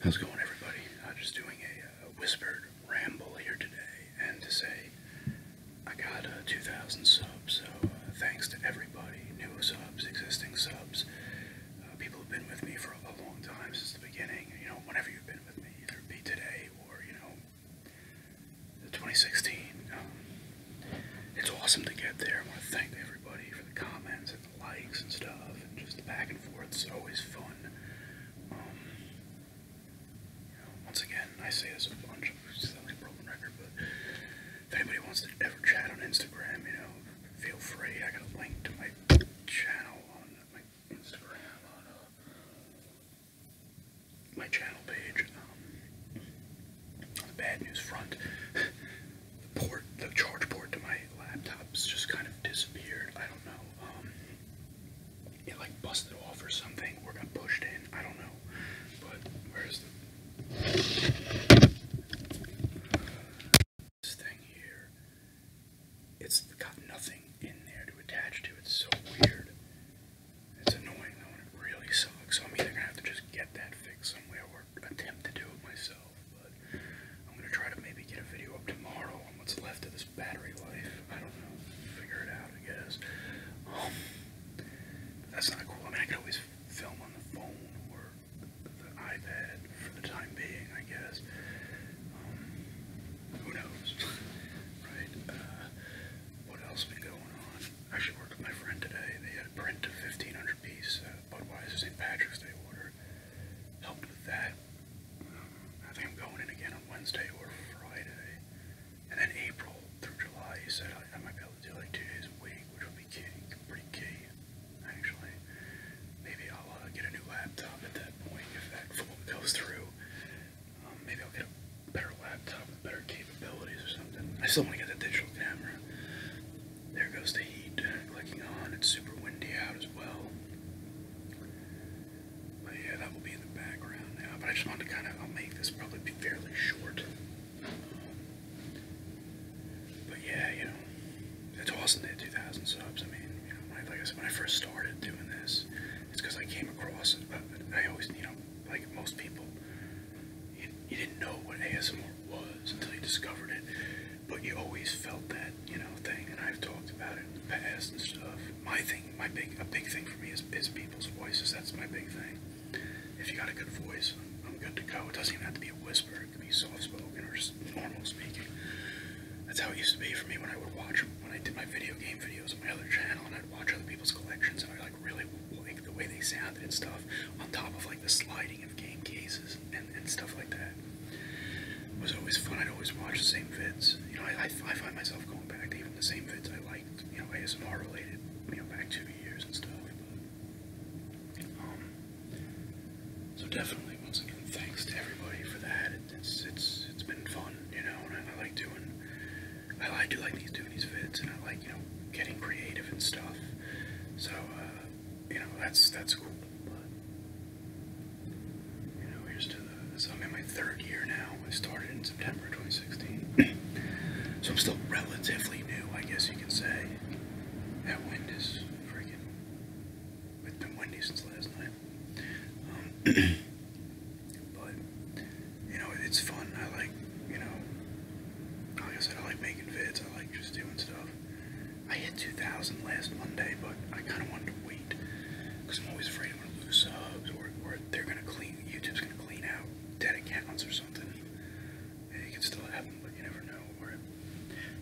How's it going, everybody? I'm just doing a, uh, whispered ramble here today, and to say I got uh, 2,000 subs, so uh, thanks to everybody, new subs, existing subs, people who've been with me for a long time since the beginning, you know, whenever you've been with me, either be today or, you know, 2016 it's awesome to get there. I want to thank everybody for the comments and the likes and stuff, and just the back and forth. It's always fun. Um, once again, I say this a bunch. It sounds like a broken record, but if anybody wants to ever chat on Instagram, you know, feel free. I got a link to my channel on my Instagram on uh, my channel page. Um, on the bad news front, port, the charge port to my laptop's just kind of disappeared. I don't know. Um, it like busted off or something, or got pushed in. I don't know. But where's the thing here? It's got nothing in there to attach to. It's so weird. It's annoying though, and it really sucks. So I'm either gonna have to just get that fixed somewhere or attempt to do it myself. But I'm gonna try to maybe get a video up tomorrow on what's left of this battery life. I don't know. Figure it out, I guess. Um, that's not cool. I mean, I could always film on the phone or the iPad for the time being, I guess. Um, who knows, right? Uh, what else been going on? I actually worked with my friend today. They had a print of 1,500 pieces. uh, Budweiser St. Patrick's Day order. Helped with that. I think I'm going in again on Wednesday or Friday. And then April through July, he said I, might be able to do like two days a week, which would be key, pretty key, actually. Maybe I'll uh, get a new laptop at that point if that goes through. Um, maybe I'll get a better laptop better capabilities or something. I still want to get the digital camera. There goes the heat clicking on. It's super windy out as well. But yeah, that will be in the background now. But I just wanted to kind of, I'll make this probably be fairly short. but yeah, you know, it's awesome they had 2,000 subs. I mean, you know, like I said, when I first started doing this, it's because I came across But I always, you know, like most people, you, you didn't know what ASMR was until you discovered it, but you always felt that, you know, thing, and I've talked about it in the past and stuff. My thing, my big, a big thing for me is, is people's voices, that's my big thing. If you got a good voice, I'm good to go. It doesn't even have to be a whisper, it could be soft-spoken or just normal speaking. That's how it used to be for me when I would watch when I did my video game videos on my other channel and I'd watch other people's collections and I like really like the way they sounded and stuff on top of like the sliding of game cases and, and stuff like that. It was always fun. I'd always watch the same vids. You know, I, I, I find myself going back to even the same vids I liked, you know, ASMR related, you know, back two years and stuff. But, um, so definitely, once again, thanks to everybody for that. It it's it's it's been fun, you know. And I, I like doing, I, I do like these doing these vids, and I like you know getting creative and stuff. So uh, you know that's that's cool. But you know here's to the. So I'm in my third year now. I started in September 2016, so I'm still relatively new, I guess you can say. At Wendy's, freaking, I've been Wendy's since last night. Um, but you know, it's fun. I like you know, like I said, I like making vids. I like just doing stuff. I hit 2,000 last Monday, but I kind of wanted to wait because I'm always afraid I'm gonna lose subs or, they're gonna clean. YouTube's gonna clean out dead accounts or something. It can still happen, but you never know.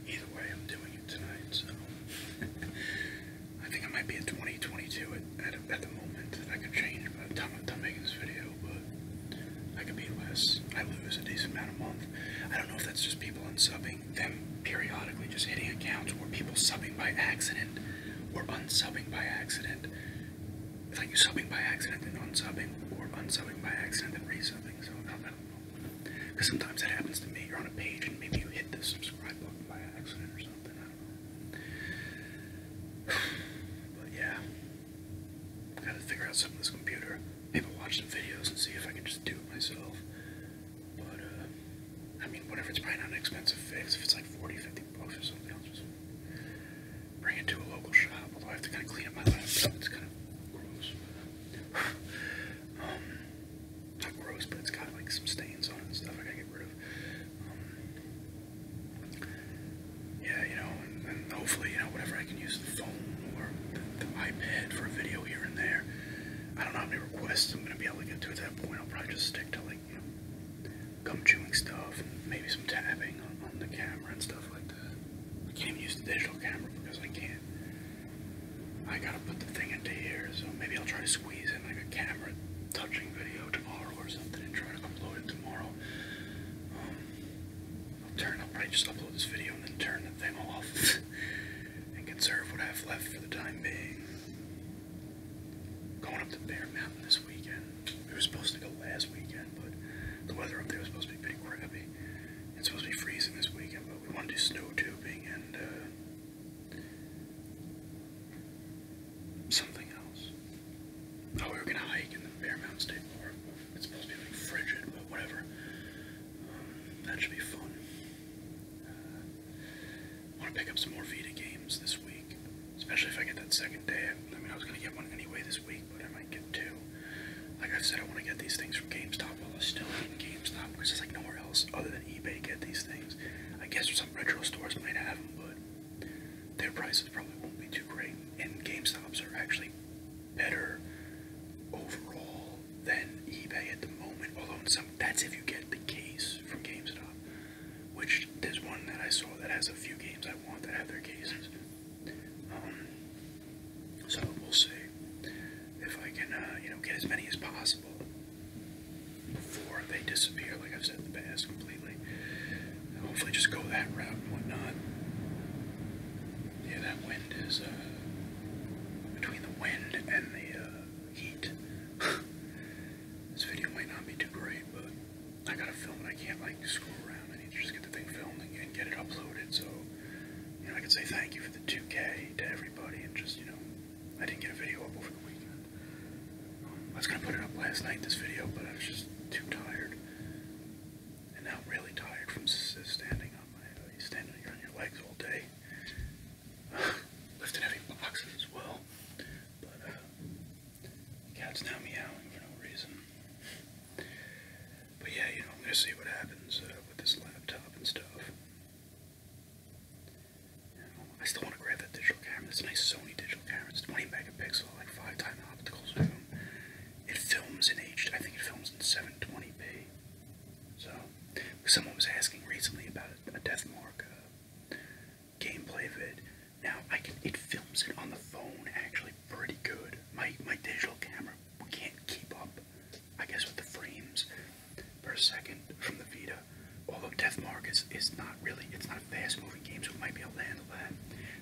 either way, I'm doing it tonight. So I think it might be a 2022 at, at, the moment. I could change by the time I'm done making this video, but I could be less. I lose a decent amount a month. I don't know if that's just people unsubbing, them periodically just hitting accounts, or people subbing by accident, or unsubbing by accident. It's like you subbing by accident, and unsubbing, or unsubbing by accident, then resubbing, so I don't know. Because sometimes that happens to me. You're on a page and maybe you hit the subscribe button by accident or something. I But yeah. Gotta figure out something with this computer. Maybe watch some videos and see if I can just do it myself. But, uh, I mean, whatever, it's probably not an expensive fix. If it's like forty, fifty bucks or something, i just bring it to a local shop. Although I have to kind of clean up my laptop. It's kind of gross. Um, not gross, but it's got like some stains on it and stuff I gotta get rid of. Um, yeah, you know, and, and hopefully, you know, whatever I can use the phone or the, the iPad for a video here and there. I don't know how many requests I'm gonna be able to get to at that point. I'll probably just stick to like, you know, gum chewing stuff and maybe some tapping on, on the camera and stuff like that. I can't even use the digital camera because I can't. I gotta put the thing into here, so maybe I'll try to squeeze in like a camera touching video tomorrow or something and try to upload it tomorrow. Um, I'll turn up, I just upload this video and then turn the thing off and conserve what I have left for the time being. Going up to Bear Mountain this weekend. We were supposed to go last weekend, but the weather up there was supposed to be pretty crappy. It's supposed to be freezing this weekend, but we want to do snow tubing and uh, something else. Oh, we were gonna hike in the Bear Mountain State Park. It's supposed to be like frigid, but whatever. Um, that should be fun. I uh, want to pick up some more Vita games this week, especially if I get that second day. I mean, I was gonna get one anyway this week week, but I might get two. Like I've said, I want to get these things from GameStop while I still in GameStop because there's like nowhere else other than eBay to get these things. I guess some retro stores might have them, but their prices probably won't be too great. And GameStops are actually better overall than eBay at the moment. Although in some, that's if you get the case from GameStop, which there's one that I saw that has a few games I want that have their cases. Um, so we'll see if I can, uh, you know, get as many as possible before they disappear, like I've said in the past, completely. hopefully, just go that route and whatnot. Yeah, that wind is uh, between the wind and the uh, heat. this video might not be too great, but I gotta film it. I can't like screw around just get the thing filmed and, get it uploaded. So, I can say thank you for the 2K to everybody and just, you know, I didn't get a video up over the weekend. I was going to put it up last night, this video, but I was just too tired. And now I'm really tired from standing on my, uh, standing on your legs all day. lifting heavy boxes as well. But, uh, cat's now meowing for no reason. But yeah, you know, I'm gonna see what happens uh, with this laptop and stuff. Um, I still want to grab that digital camera. It's a nice Sony digital camera. It's 20 megapixel, like five time optical zoom. It films in H. I think it films in 720p. So, someone was asking recently about a, Deathmark Death Mark uh, gameplay vid. Now I can it films it on the phone actually pretty good. My my digital camera can't keep up, I guess with the frames per second from the Vita. Although Deathmark is not really it's not a fast moving game, so it might be able to handle that.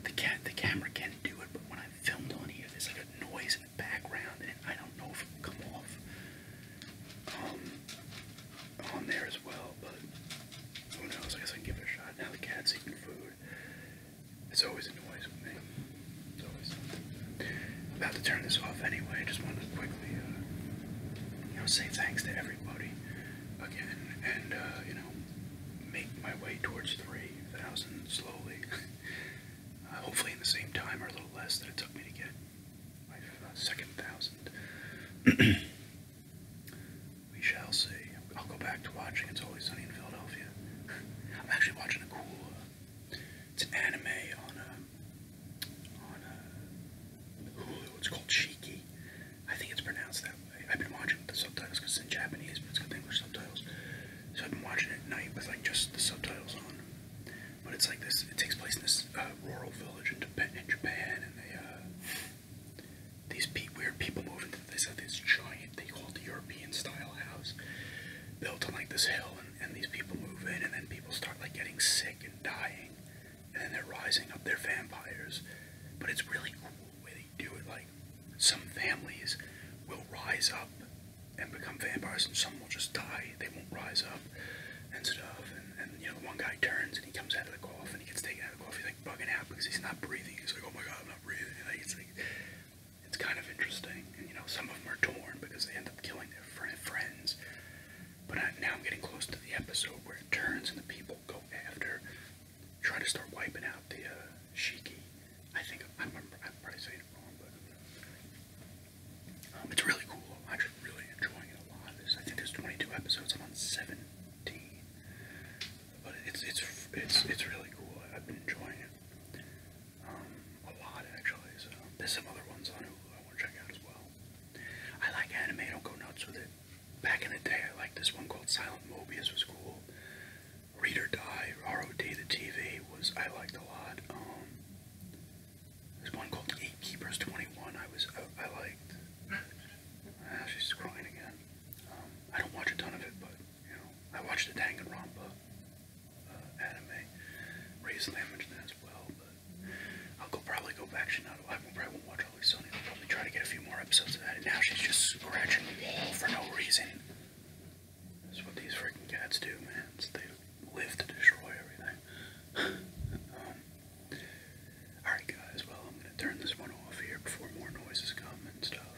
The cat the camera can not do it, but when I filmed on here there's like a noise in the background and I don't know if it'll come off um on there as well, but who knows, I guess I can give it a shot. Now the cat's eating food. It's always a noise with me. about to turn this off anyway. I just wanted to quickly, uh, you know, say thanks to everybody again, and uh, you know, make my way towards three thousand slowly. Uh, hopefully, in the same time or a little less than it took me to get my second thousand. We shall see. I'll go back to watching It's Always Sunny in Philadelphia. I'm actually watching a cool. Uh, it's an anime on a uh, on uh, Hulu. It's called Cheeky. I think it's pronounced that way. I've been watching the subtitles because it's in Japanese, but it's got English subtitles. So I've been watching it at night with like just the subtitles on. But it's like this. It takes place in this uh, rural village in Japan, and they these pe weird people moved into this, uh, this giant, they called the European style house, built on like this hill, and, and these people move in, and then people start like getting sick and dying, and then they're rising up, they're vampires, but it's really cool the way they do it, like, some families will rise up and become vampires, and some will just die, they won't rise up, and stuff, and, and you know, one guy turns, and he comes out of the coffin, he gets taken Luffy's like bugging out because he's not breathing. He's like, oh my god, I'm not breathing. Like, it's like, it's kind of interesting. And you know, some of them are torn because they end up killing their friend, friends. But I, now I'm getting close to the episode where it turns and the people go after, try to start wiping out the uh, Shiki. I think I'm, I'm, I'm probably saying it wrong, but um, it's really cool. I'm actually really enjoying get a lot of this. I think there's 22 episodes. I'm on 17, but it's it's it's it's really cool. I've been enjoying it um, a lot actually. So there's some other ones on Hulu I want to check out as well. I like anime. I don't go nuts with it. Back in the day, I liked this one called Silent Mobius. Was cool. Read or Die, ROD, the TV was I liked a lot. Um, there's one called Eight Keepers 21. I was I, I liked. Ah, she's crying again. Um, I don't watch a ton of it, but you know, I watched the Danganronpa uh, anime. Ray's mentioned that as well, but I'll go probably go back. to not I probably won't watch Always Sunny. I'll probably try to get a few more episodes of that. And now she's just scratching the wall for no reason. That's what these freaking cats do, man. It's, live to destroy everything. Um, alright guys, well I'm going to turn this one off here before more noises come and stuff.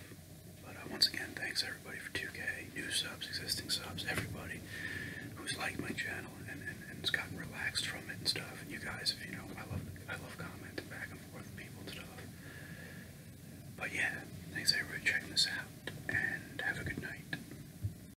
But uh, once again, thanks everybody for 2K, new subs, existing subs, everybody who's liked my channel and, and, and gotten relaxed from it and stuff. And you guys, if you know, I love I love commenting back and forth people and stuff. But yeah, thanks everybody for checking this out, and have a good night.